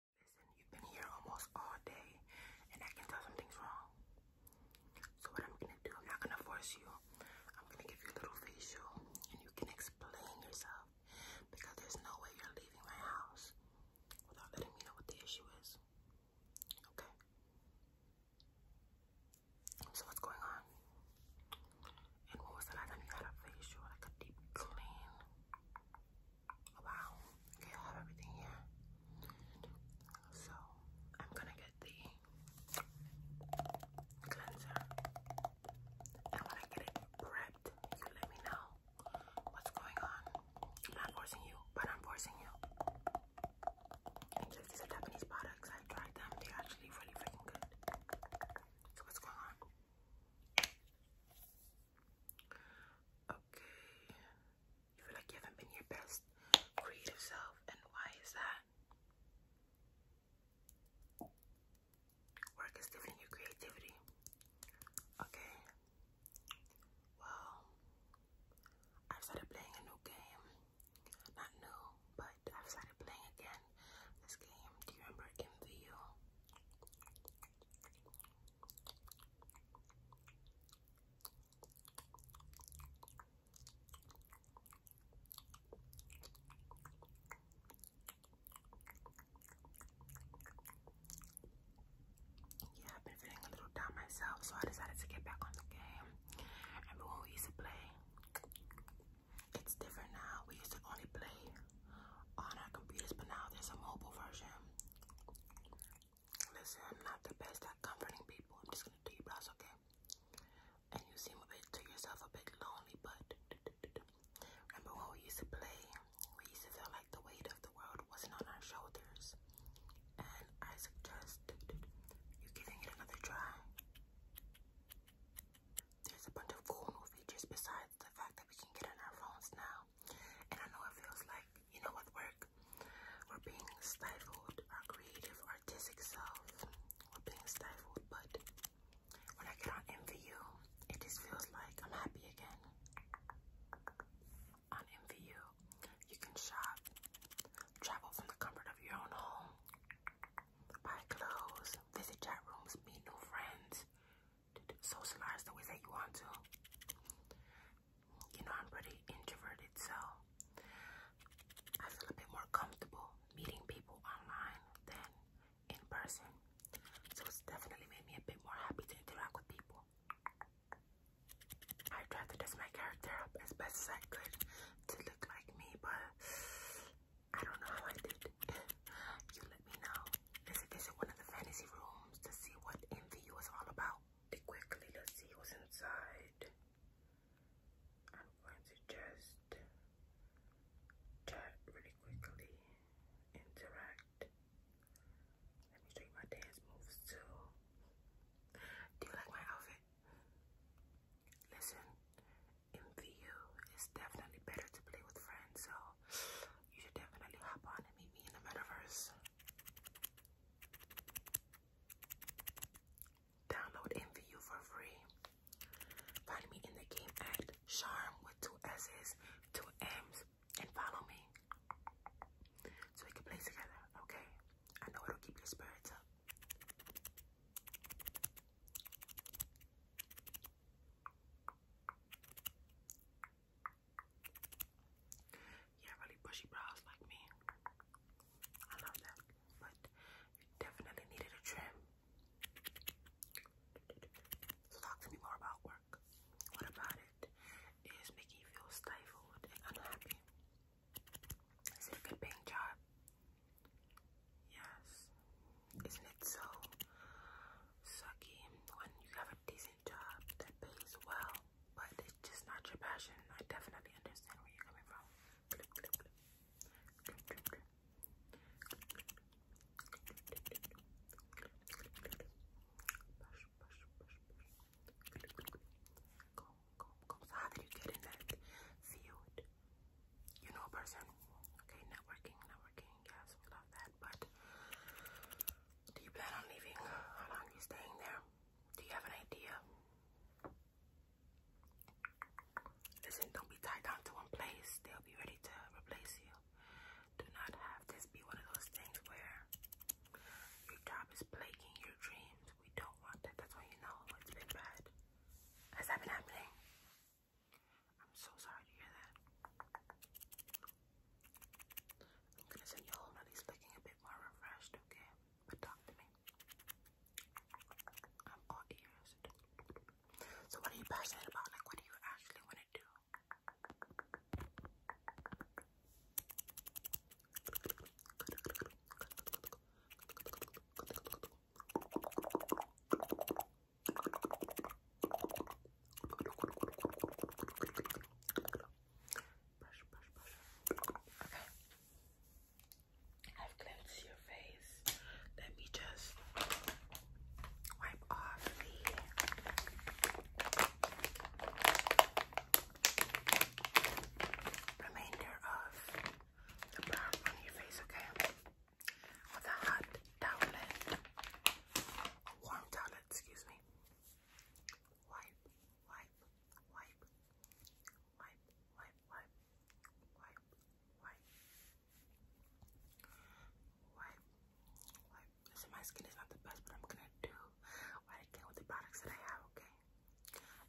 Listen, you've been here almost all day, and I can tell something's wrong. So what I'm gonna do, I'm not gonna force you. I'm gonna give you a little facial, and you can explain yourself because there's no way you're leaving my house without letting me know what the issue is. Okay. So what's going on? And what was the last time you had a facial, like a deep clean? wow, okay, I have everything here. So, I'm gonna get the cleanser. And when I get it prepped, you let me know what's going on. I'm not forcing you, but I'm forcing you. just these Japanese products. I tried them, they're actually really freaking good. So, what's going on? Okay. You feel like you haven't been your best creative self, and why is that? Work is different your creativity. Okay. Well, I've started playing a new game. Not new, but I've started playing again. This game, do you remember MVU? Yeah, i been feeling a little down myself, so I decided to get back on the game. Remember when we used to play? It's different now. We used to only play on oh, our computers, but now there's a mobile version. Listen, I'm not the best at comforting people. I'm just gonna do your brows, okay? And you seem a bit to yourself a bit lonely, but remember when we used to play? We used to feel like the weight of the world wasn't on our shoulders. And I suggest you giving it another try. There's a bunch of cool new features besides the fact that we can get on our phones now. And I know it feels like, you know, with work, we're being stifled, our creative, artistic self, we're being stifled. But when I get on MVU, it just feels like I'm happy again. On MVU, you can shop, travel from the comfort of your own home, buy clothes, visit chat rooms, meet new friends, socialize the way that you want to. You know, I'm pretty introverted, so I feel a bit more comfortable meeting people online than in person. So it's definitely made me a bit more happy to interact with people. I tried to dress my character up as best as I could to look like me, but I don't know how I did. you let me know. Let's visit one of the fantasy rooms to see what MVU is all about. Quickly, let's see what's inside. I'm going to just chat really quickly, interact. Let me show you my dance moves too. Do you like my outfit? Listen, MVU. It's definitely better to play with friends, so you should definitely hop on and meet me in the metaverse. Download MVU for free. Find me in the game at Charm with two S's, two M's, and follow me. So we can play together, okay? I know it'll keep your spirits up. You have really bushy brows like me. I love that. But you definitely needed a trim. So talk to me more about work. What about it is making you feel stifled and unhappy? Is it a good job? Yes. Isn't it so sucky when you have a decent job that pays well, but it's just not your passion? I definitely understand where you're coming from. how did you get in that field? You know a person, okay? Networking, networking. Yes, we love that. But do you plan on leaving? How long are you staying there? Do you have an idea? Listen, don't be tied down to one place. They'll be ready to replace you. Do not have this be one of those things where your job is plaguing your dreams. We don't want that. That's why you know it's been bad. Has that been happening? I'm so sorry to hear that. I'm gonna send you home at least looking a bit more refreshed, okay? But talk to me. I'm all ears. So what are you passionate about? Like what do you actually want to do? Brush, brush, I've cleansed your face. Let me just wipe off the remainder of the brown on your face, okay? with a hot towelette, a warm towelette, excuse me. Wipe, wipe, wipe, wipe, wipe, wipe, wipe, wipe, wipe, Listen, my skin is not the best, but I'm gonna do what I with the products that I have, okay?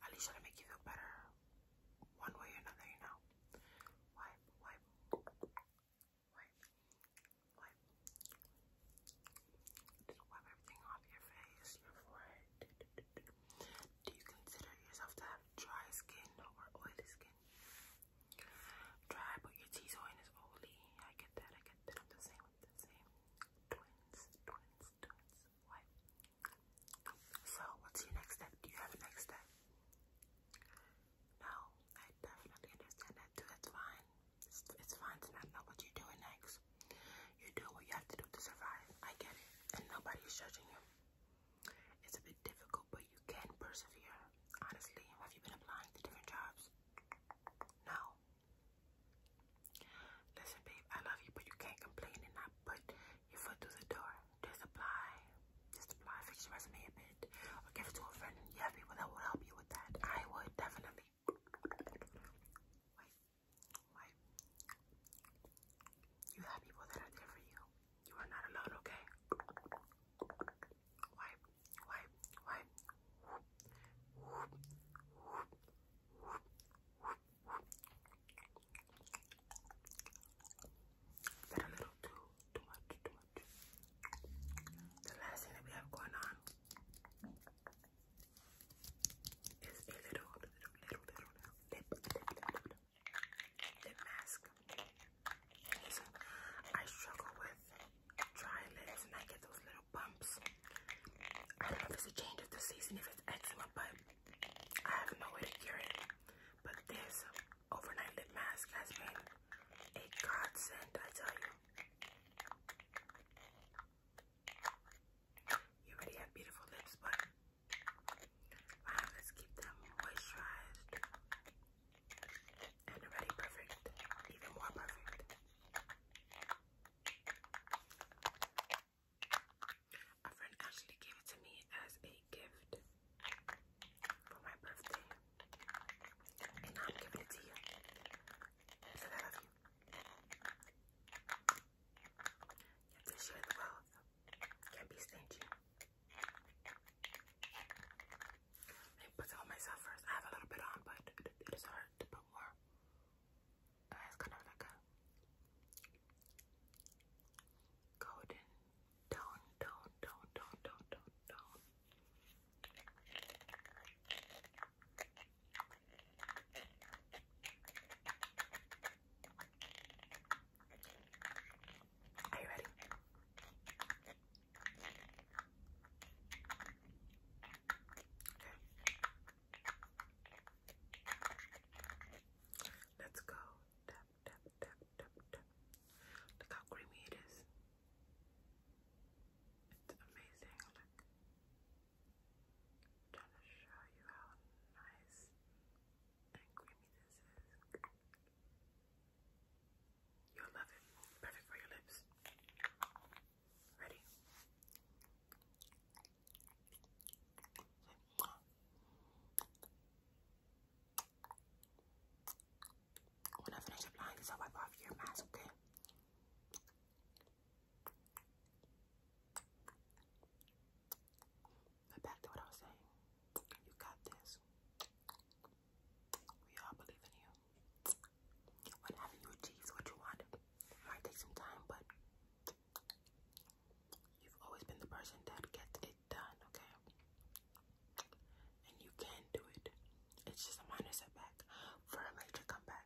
At least try make you feel better one way or another, you know. Wipe, wipe, wipe, wipe. wipe everything off your face, your forehead. Do you consider yourself to have dry skin or oily skin? Dry, but your T zone is oily. I get that, I get that. I'm the same. Twins, twins, twins. Wipe, so, what's your next step? Do you have a next step? No, I definitely understand that too. It's fine. It's, it's fine to not know what you're doing next. You do what you have to do to survive. I get it. And nobody's judging you. It's a bit difficult, but you can persevere. Honestly, have you been applying to different jobs? No. Listen, babe, I love you, but you can't complain and not your foot through the door. Just apply. Just apply. Fix your resume a bit. Or give it to a friend. You have people that will help you with that. I would definitely. Wait. Wait. You have people that are there for you. You are not alone, okay? Wipe, wipe, wipe. That a little too, too much, too much. The last thing that we have going on is a little, little, little, little, lip, lip, lip, mask. I struggle with dry lips and I get those little bumps. I don't know if it's a change of the season, if it's eczema, but I have no way to cure it. But this overnight lip mask has been a godsend, I tell you. You already have beautiful lips, but let's keep them moisturized and already perfect, even more perfect. A friend actually gave it to me as a gift for my birthday. And I'm giving it to you. Because I love you. Can't be stingy. Let put on myself first. I have a little bit on, but it is hard to put more. Uh, kind of like a Golden tone, tone, tone, tone, tone, tone, tone. Are you ready? Okay. Let's go. Tap, tap, tap, tap, tap. Look how creamy it is. It's amazing. Look. trying to show you how nice and creamy this is. You'll love it. Perfect for your lips. Ready? When I finish applying I'll wipe off your mask, okay? But back to what I was saying. You got this. We all believe in you. When having you achieve what you want, might take some time, but You've always been the person that gets it done, okay? And you can do it. It's just a minor setback for a major comeback.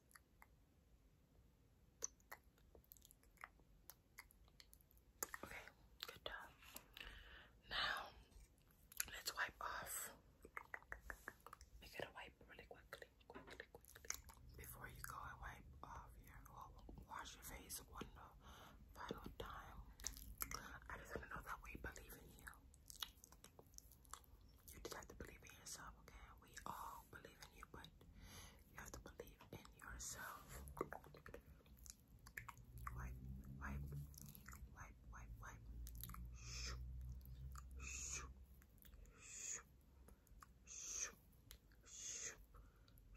Okay, good job. Now, let's wipe off. We gotta wipe really quickly, quickly, quickly. Before you go and wipe off your, well, wash your face one final time. I just wanna know that we believe in you you just have to believe in yourself, okay? We all believe in you, but you have to believe in yourself. Wipe, wipe, wipe, wipe, wipe. Shoo, shoo, shoo, shoo, shoo,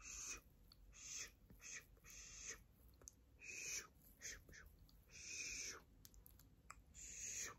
shoo, shoo, shoo, shoo. Shoop, shoop, shoop, shoop, shoop,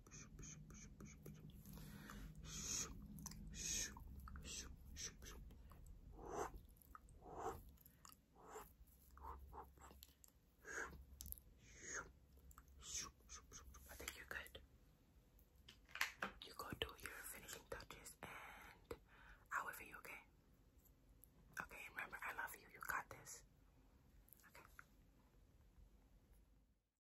I think you're good. You go do your finishing touches and I'll wait you, okay? Okay, remember, I love you. You got this. Okay.